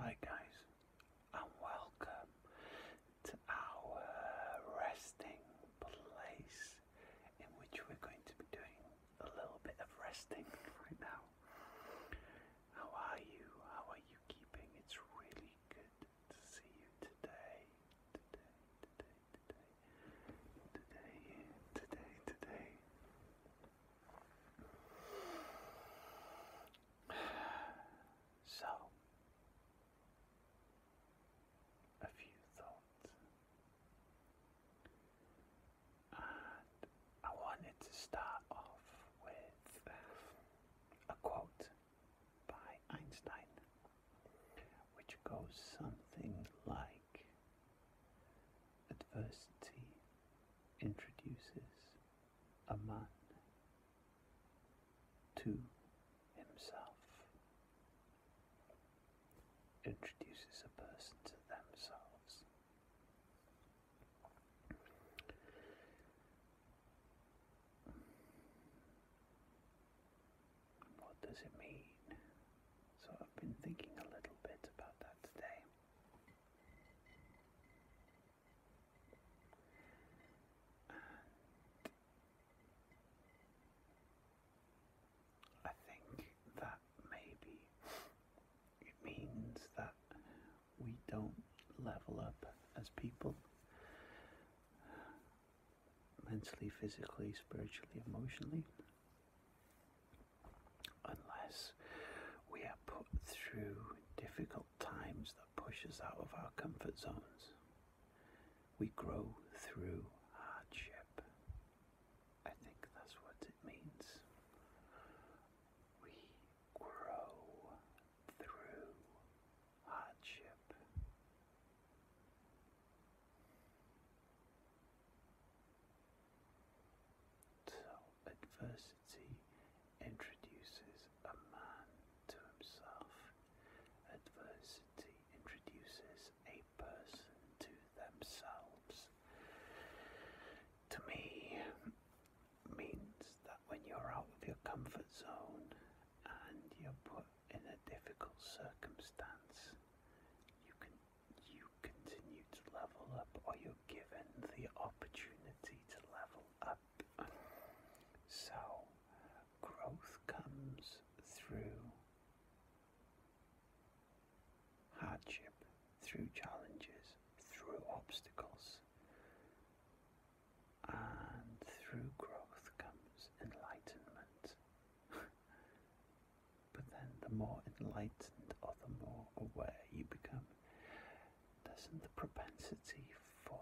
Hi guys and welcome to our resting place in which we're going to be doing a little bit of resting right now. How are you? How are you keeping? It's really good to see you today. Today, today, today. Today, today, today. So, a few thoughts and I wanted to start off with uh, a quote by Einstein, which goes something like Adversity introduces a man to himself introduces a person to themselves. What does it mean? So I've been thinking a little bit about that today. I think that maybe it means that we don't level up as people mentally, physically, spiritually, emotionally unless we are put through difficult times that push us out of our comfort zones. We grow through hardship. I think that's what it means. We grow through hardship. So adversity introduces a man to himself. Adversity introduces a person to themselves, to me, means that when you're out of your comfort zone and you're put in a difficult circumstance, you can you continue to level up, or you're given the opportunity to level up. So, growth comes through hardship, through challenges, through obstacles, and through growth comes enlightenment. but then, the more enlightened or the more aware you become, doesn't the propensity for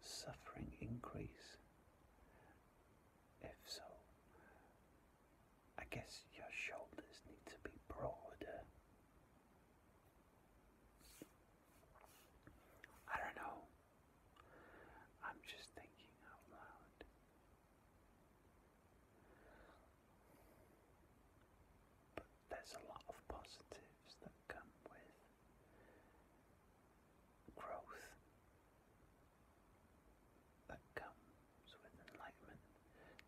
suffering increase? If so, I guess your shoulders need to be broader. I don't know. I'm just thinking out loud. But there's a lot of positives that come with growth that comes with enlightenment.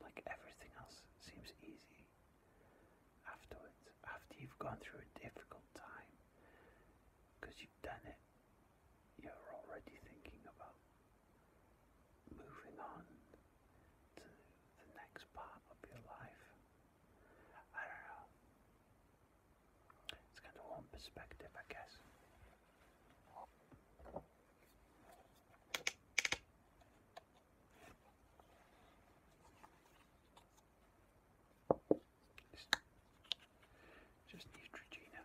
Like everything else seems easy afterwards, after you've gone through a difficult time, because you've done it, you're already thinking about moving on to the next part of your life. I don't know. It's kind of one perspective, I guess. Just Neutrogena.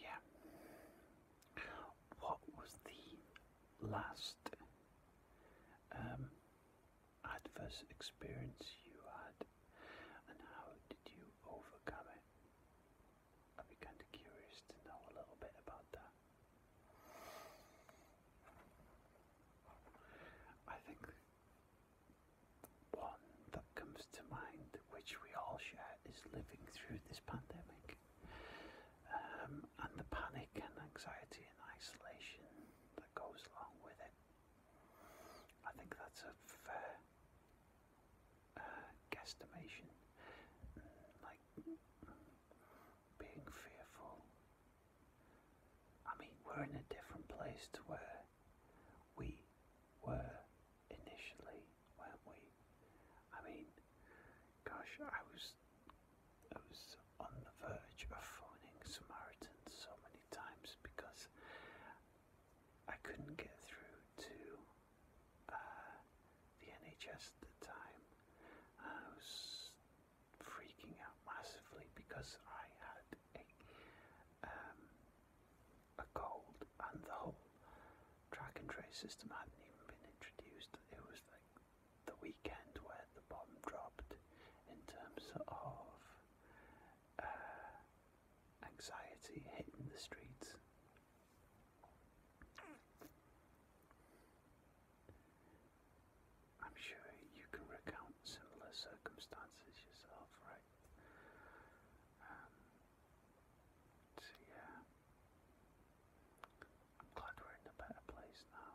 Yeah. What was the last um, adverse experience you had and how did you overcome it? I'd be kind of curious to know a little bit about that. I think one that comes to mind, which we all share is living through this pandemic um, and the panic and anxiety and isolation that goes along with it. I think that's a fair uh, guesstimation. Like being fearful. I mean, we're in a different place to where we were initially, weren't we? I mean, gosh, I was I was on the verge of phoning Samaritan so many times because I couldn't get through to uh, the NHS at the time. I was freaking out massively because I had a um, a cold, and the whole track and trace system hadn't even been introduced. It was like the weekend where the bomb dropped in terms of uh, anxiety hitting the streets. I'm sure you can recount similar circumstances yourself, right? Um, so, yeah. I'm glad we're in a better place now,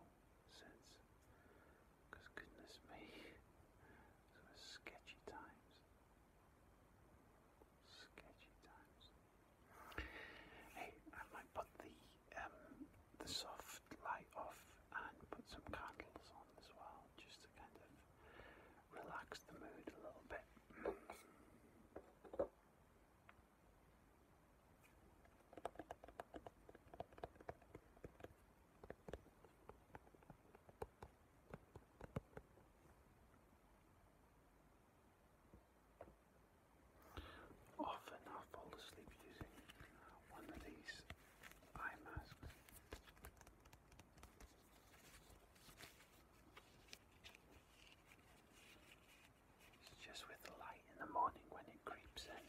since, goodness me, it was sketchy times. Sketchy times. Hey, I might put the um, the soft light off and put some candles on as well, just to kind of relax the mood a little bit. Often I fall asleep using one of these eye masks. It's just with the light in the morning when it creeps in.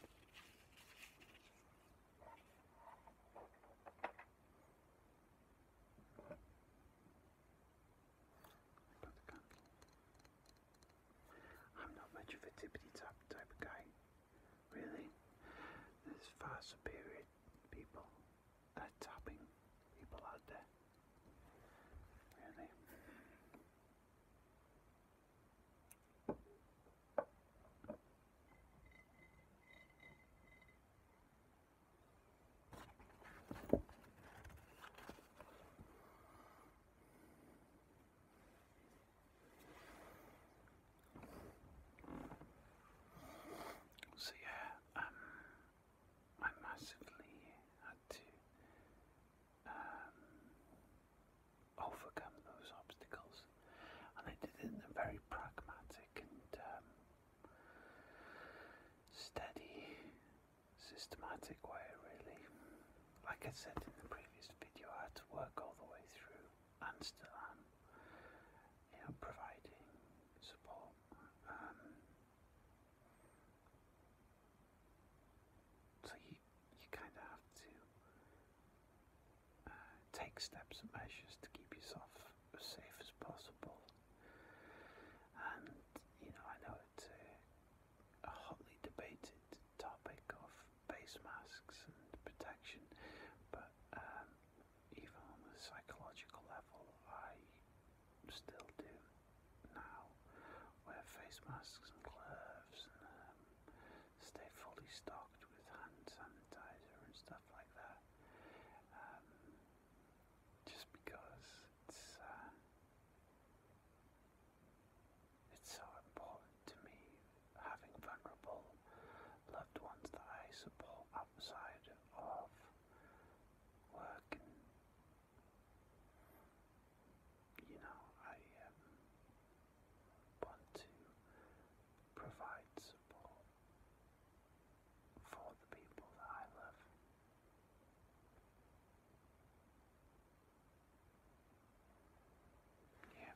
I am not much of a tippity tap type of guy, really. There's far superior people that's helping people out there. Really. So yeah, um, I massively had to um, overcome those obstacles, and I did it in a very pragmatic and um, steady, systematic way, really. Like I said in the previous video, I had to work all the way through, and still you know, providing support. Um, so you you kind of have to uh, take steps and measures to keep yourself as safe as possible. And you know I know it's a, hotly debated topic of face masks and protection, but um, even on the psychological level, I still do now, wear face masks and gloves and um, stay fully stocked with hand sanitizer and stuff like that. Um, just because it's uh, it's so important to me having vulnerable loved ones that I support outside of work and you know, I um, want to provide support for the people that I love. Yeah.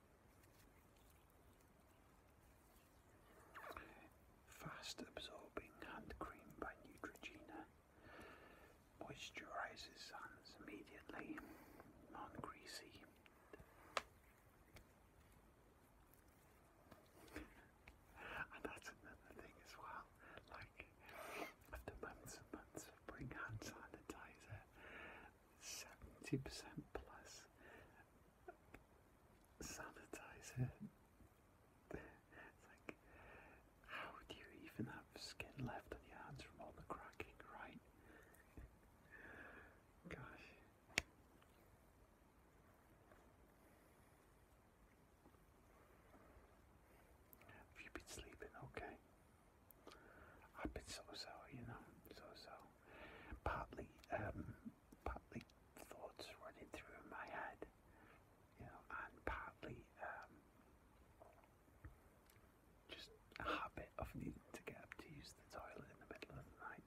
Fast absorbing hand cream by Neutrogena. Moisturizes hands immediately, non greasy. and that's another thing as well. Like, after months and months of bring hand sanitizer, 70% plus sanitizer. it's like, how do you even have skin left on your hands from all the cracking, right? Gosh. Have you been sleeping okay? I've been so-so, you know, so-so. Partly, um, partly thoughts running through my head, you know, and partly um, just a habit of needing to get up to use the toilet in the middle of the night.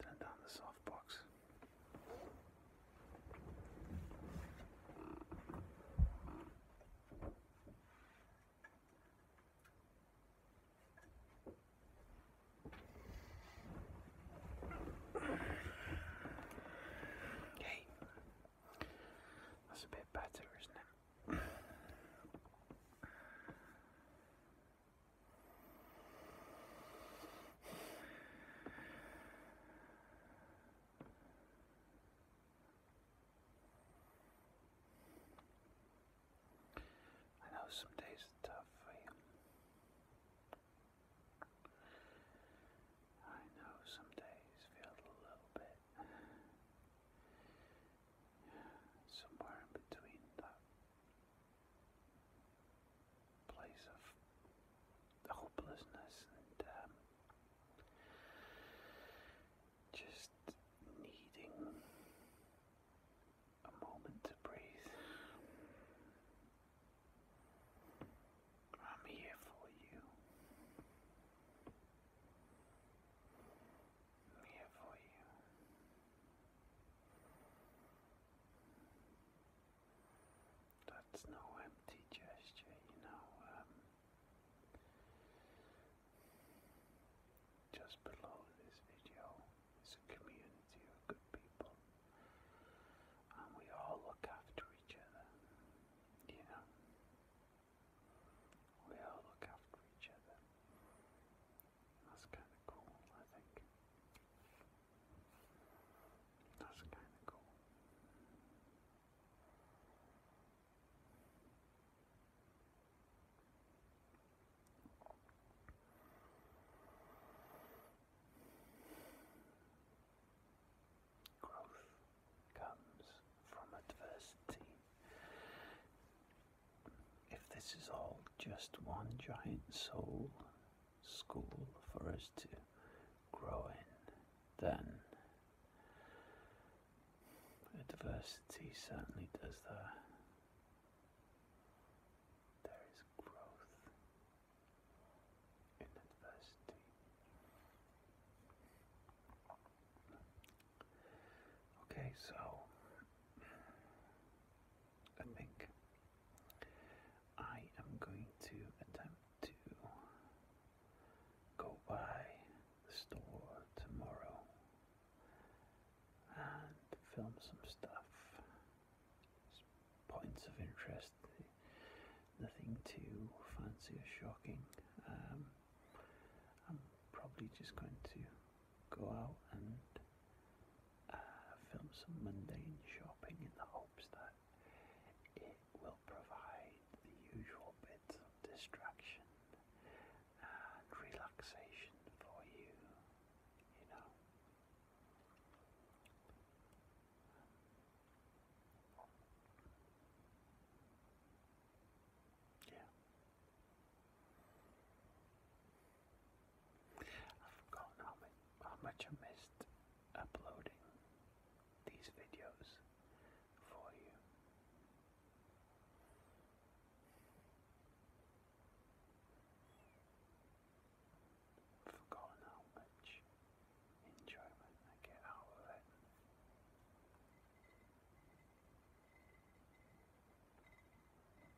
Turn down the softbox. Hey, that's a bit better, isn't it? I know some days are tough for you. I know some days feel a little bit somewhere in between that place of hopelessness and um, just needing a moment to breathe. I'm here for you. I'm here for you. That's no empty gesture, you know. Um, just below this video is a community of good people, and we all look after each other, you know. We all look after each other. That's kind of cool, I think. That's kind of cool. Growth comes from adversity. If this is all just one giant soul school for us to grow in, then adversity certainly does that. There is growth in adversity. Okay, so a mic. I am going to attempt to go by the store tomorrow and film some stuff. Points of interest, nothing too fancy or shocking. Um, I'm probably just going to go out and uh, film some mundane shopping in the hopes that it will provide the usual bits of distraction and relaxation for you, you know. Yeah. I've forgotten how, many, how much I missed uploading these videos for you. forgotten how much enjoyment I get out of it.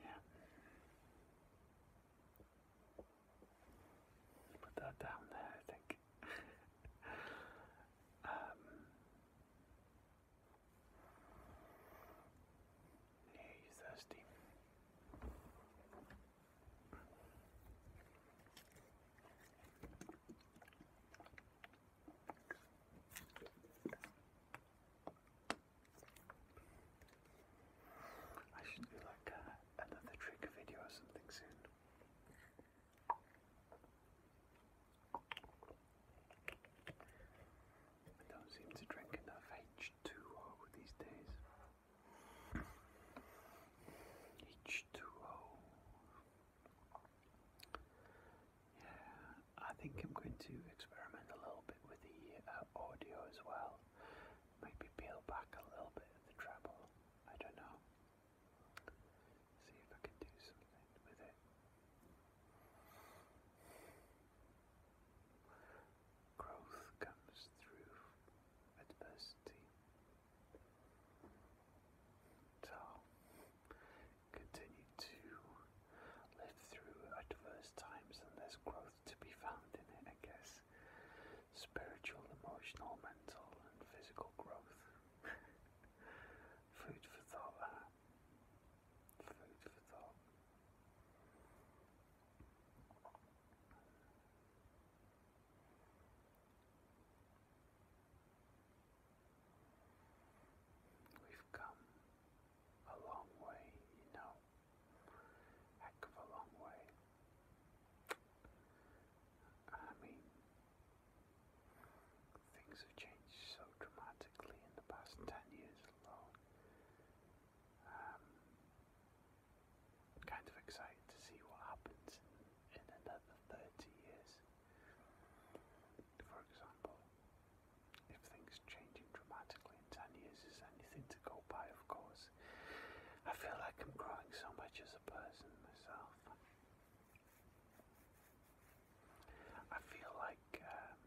Yeah. Put that down there, I think. Um, yeah, you thirsty. I should do like uh, another trick video or something soon. I don't seem to drink enough H2O these days. H2O. Yeah, I think I'm going to experiment a little bit with the uh, audio as well. Maybe peel back a little bit of the treble. I don't know. See if I can do something with it. Growth comes through adversity. So, continue to live through adverse times and there's growth to be found in it, I guess. Spiritual, emotional, mental, and physical growth. Food for thought, ah. Food for thought. We've come a long way, you know. Heck of a long way. I mean, things have changed so dramatically in the past ten years alone. Um, kind of excited to see what happens in another 30 years. For example, if things changing dramatically in 10 years is anything to go by, of course, I feel like I'm growing so much as a person myself. I feel like um,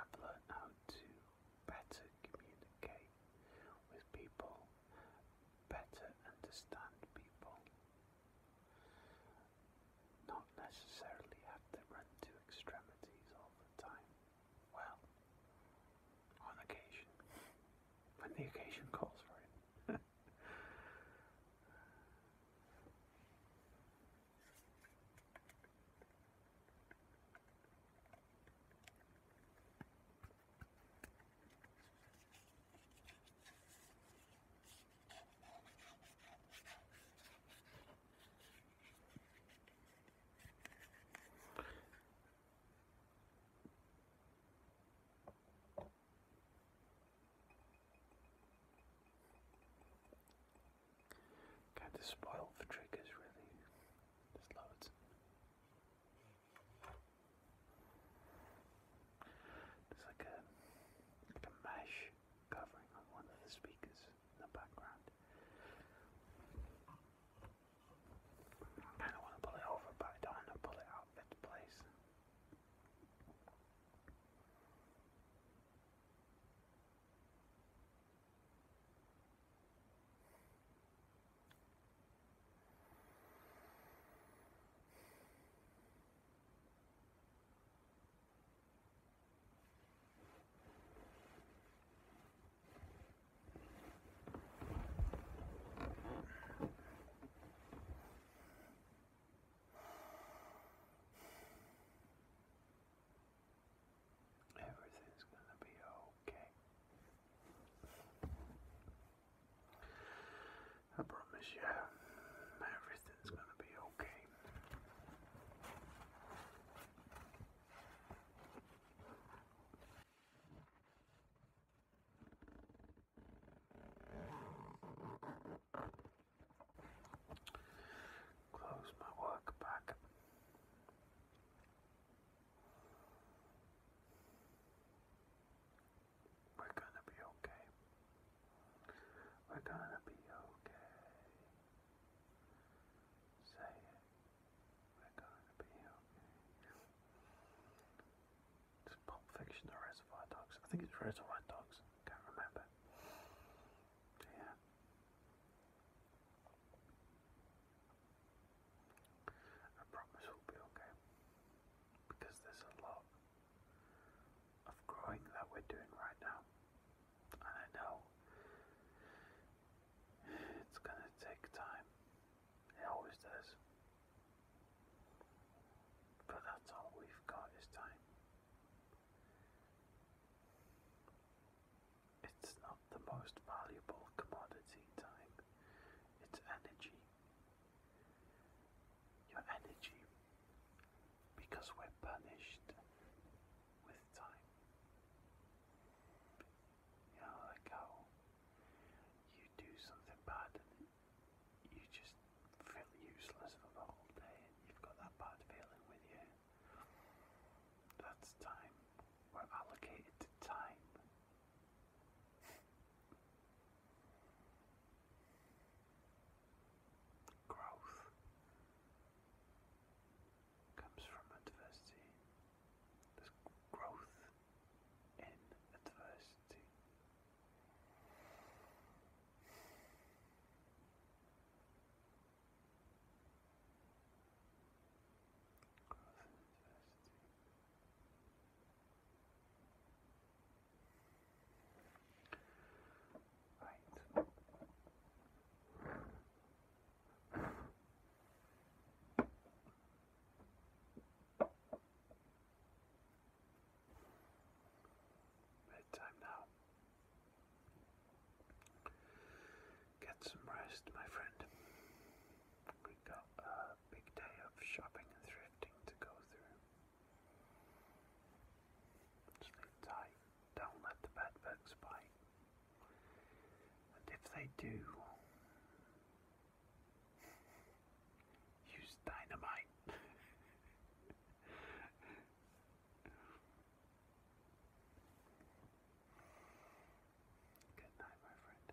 I've learned how to better communicate with people, better understand people, not necessarily have them run to extremities all the time. Well, on occasion, when the occasion calls for it. Kind of spoiled for triggers, really. There's loads. There's like a, like a mash covering on one of the speakers in the background. kind of want to pull it over, but I to pull it out of its place. Everything's gonna be okay. I promise you, everything's gonna be okay. Close my work bag. We're gonna be okay. We're gonna be okay. Say it. We're gonna be okay. It's Pop Fiction or white Dogs. I think it's Reservoir Dogs. Can't remember. Yeah. I promise we'll be okay. Because there's a lot of growing that we're doing right now. And I know it's going to take time, it always does. But that's all we've got is time. It's not the most valuable commodity, time, it's energy. Your energy because we're punished with time. You know, like how you do something bad and you just feel useless for the whole day and you've got that bad feeling with you. That's time. We're allocated time. Growth comes from adversity. There's growth in adversity. Growth in adversity. Bedtime now. Get some rest, my friend. We've got a big day of shopping and thrifting to go through. Sleep tight. Don't let the bad bite. And if they do, use dynamite. Good night, my friend.